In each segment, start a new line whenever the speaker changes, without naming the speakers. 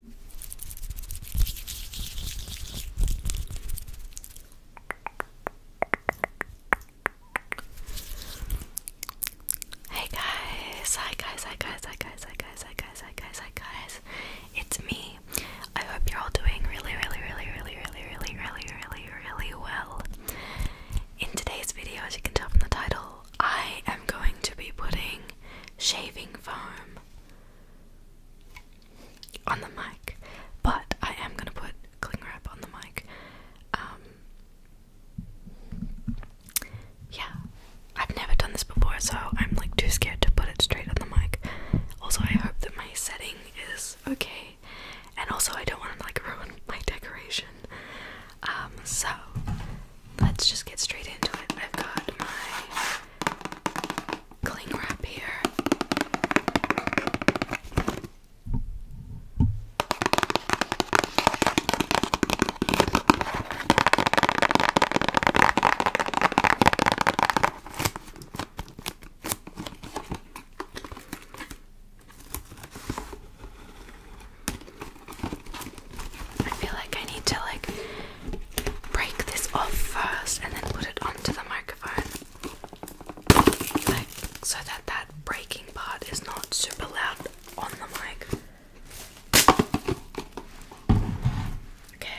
Hey guys, hi guys, hi guys, hi guys, hi guys, hi guys, hi guys, hi guys. It's me. I hope you're all doing really, really, really, really, really, really, really, really, really well. In today's video, as you can tell from the title, I am going to be putting shaving foam on the mic, but I am gonna put cling wrap on the mic. Um, yeah, I've never done this before, so I'm like too scared to put it straight on the mic. Also, I hope that my setting is okay, and also I don't want to like ruin my decoration. Um, so let's just get straight into it. I've got my cling wrap here. I feel like I need to like break this off first and then put it onto the microphone. Like so that that breaking part is not super loud on the mic. Okay.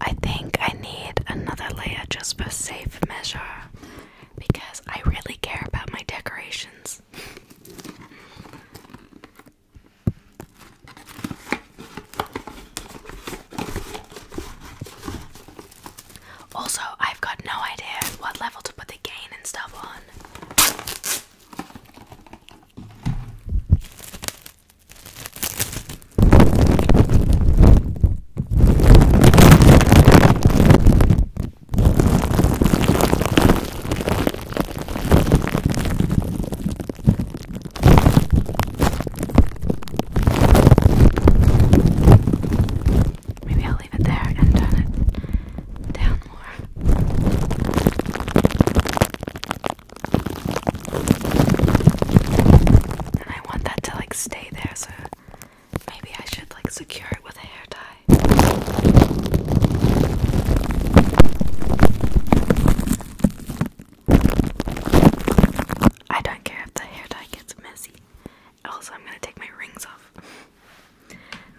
I think I need another layer just for safe measure because I really care about my decorations. Also, I've got no idea what level to put the gain and stuff on. Maybe I'll leave it there and turn it down. I want that to like stay there, so maybe I should like secure it with a hair tie. I don't care if the hair dye gets messy. Also, I'm gonna take my rings off.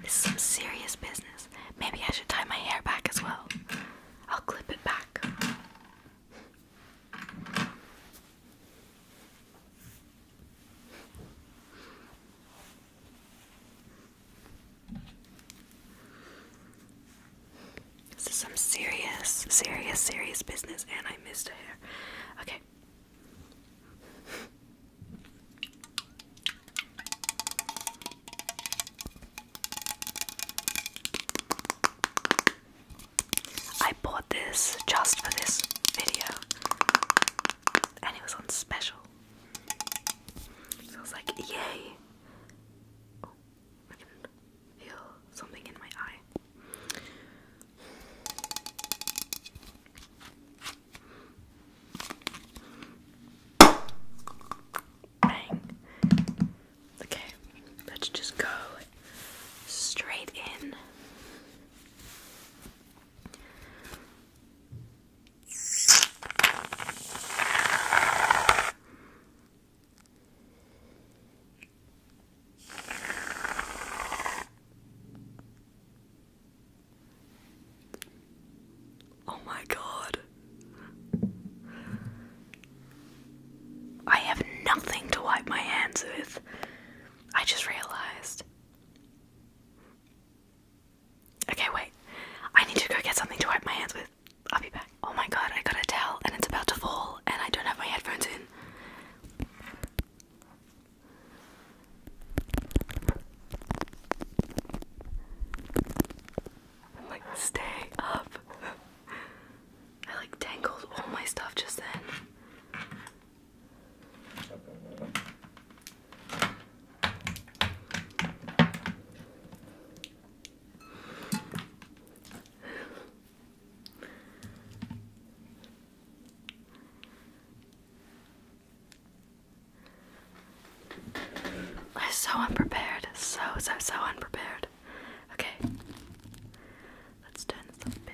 This is some serious business. Maybe I should tie my hair back as well. I'll clip it back. This is some serious, serious, serious business, and I missed a hair. Okay, I bought this just for this video and it was on special. So I was like, yay! Oh, I can feel something in my eye. Bang. Okay, let's just go straight in. Oh my god. I have nothing to wipe my hands with. I just realized. Okay, wait. I need to go get something to wipe my hands with. I'll be back. Oh my god, I got a towel and it's about to fall, and I don't have my headphones in. I'm like, stay up. I like tangled all my stuff just then. I'm so unprepared. So, so, so unprepared. Okay. Let's turn this a bit.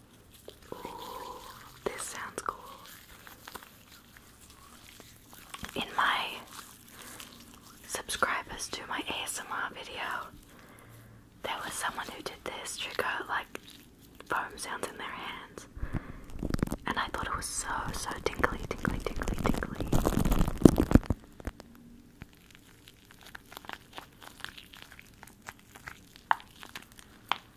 this sounds cool. In my subscribers to my ASMR video, there was someone who did this trigger like foam sounds in their hands. And I thought it was so, so tingly, tingly, tingly, tingly.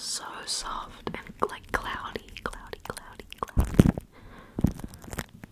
So soft and like cloudy, cloudy, cloudy, cloudy.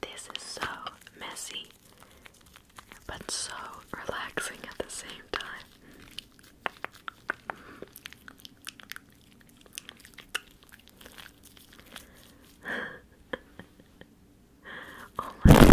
This is so messy, but so relaxing at the same time. oh my god.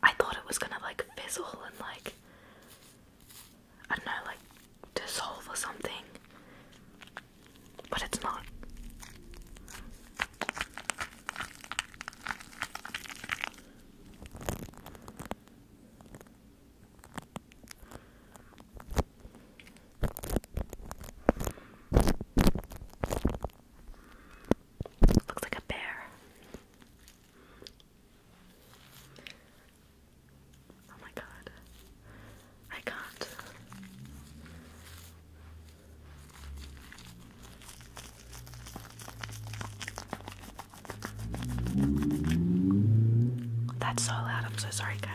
I thought it was gonna like fizzle and like I don't know, like dissolve or something, but it's not. Looks like a bear. Oh my god. I can't. That's so loud. I'm so sorry, guys.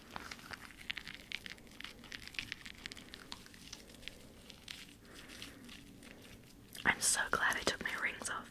I'm so glad I took my rings off.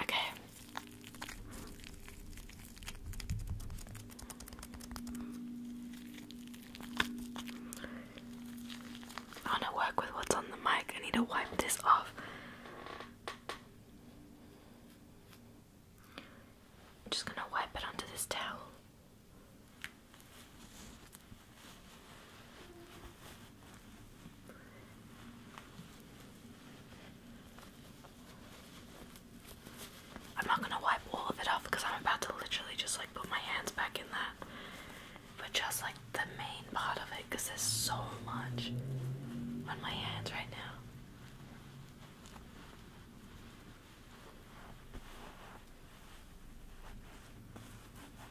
Okay. I want to work with what's on the mic. I need to wipe this off. I'm just going to wipe it onto this towel. I'm not gonna wipe all of it off because I'm about to literally just like put my hands back in that. But just like the main part of it because there's so much on my hands right now.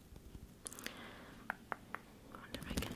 I wonder if I can.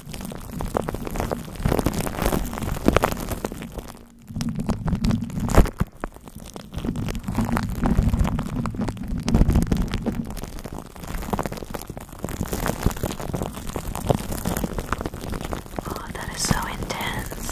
Oh, that is so intense.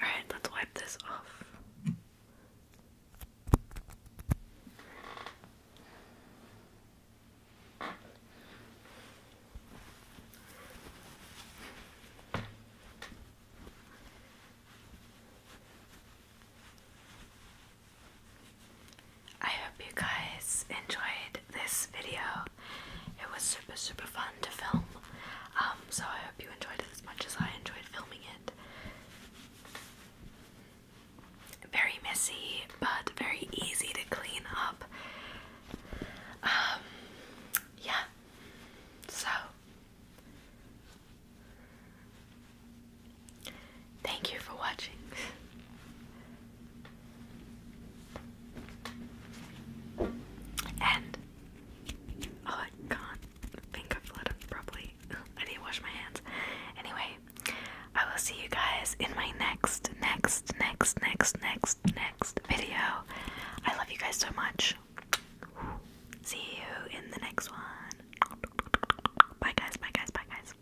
Alright, let's wipe this off. I hope you guys enjoyed this video. It was super, super fun to film. Um, so I hope you enjoyed it as much as I enjoyed filming it. Very messy, but very easy to clean up. Um, yeah. So, Thank you for watching. And oh, I can think of it properly. I need to wash my hands. Anyway, I will see you guys in my next, next, next, next, next, next video. I love you guys so much. See you in the next one. Bye guys, bye guys, bye guys.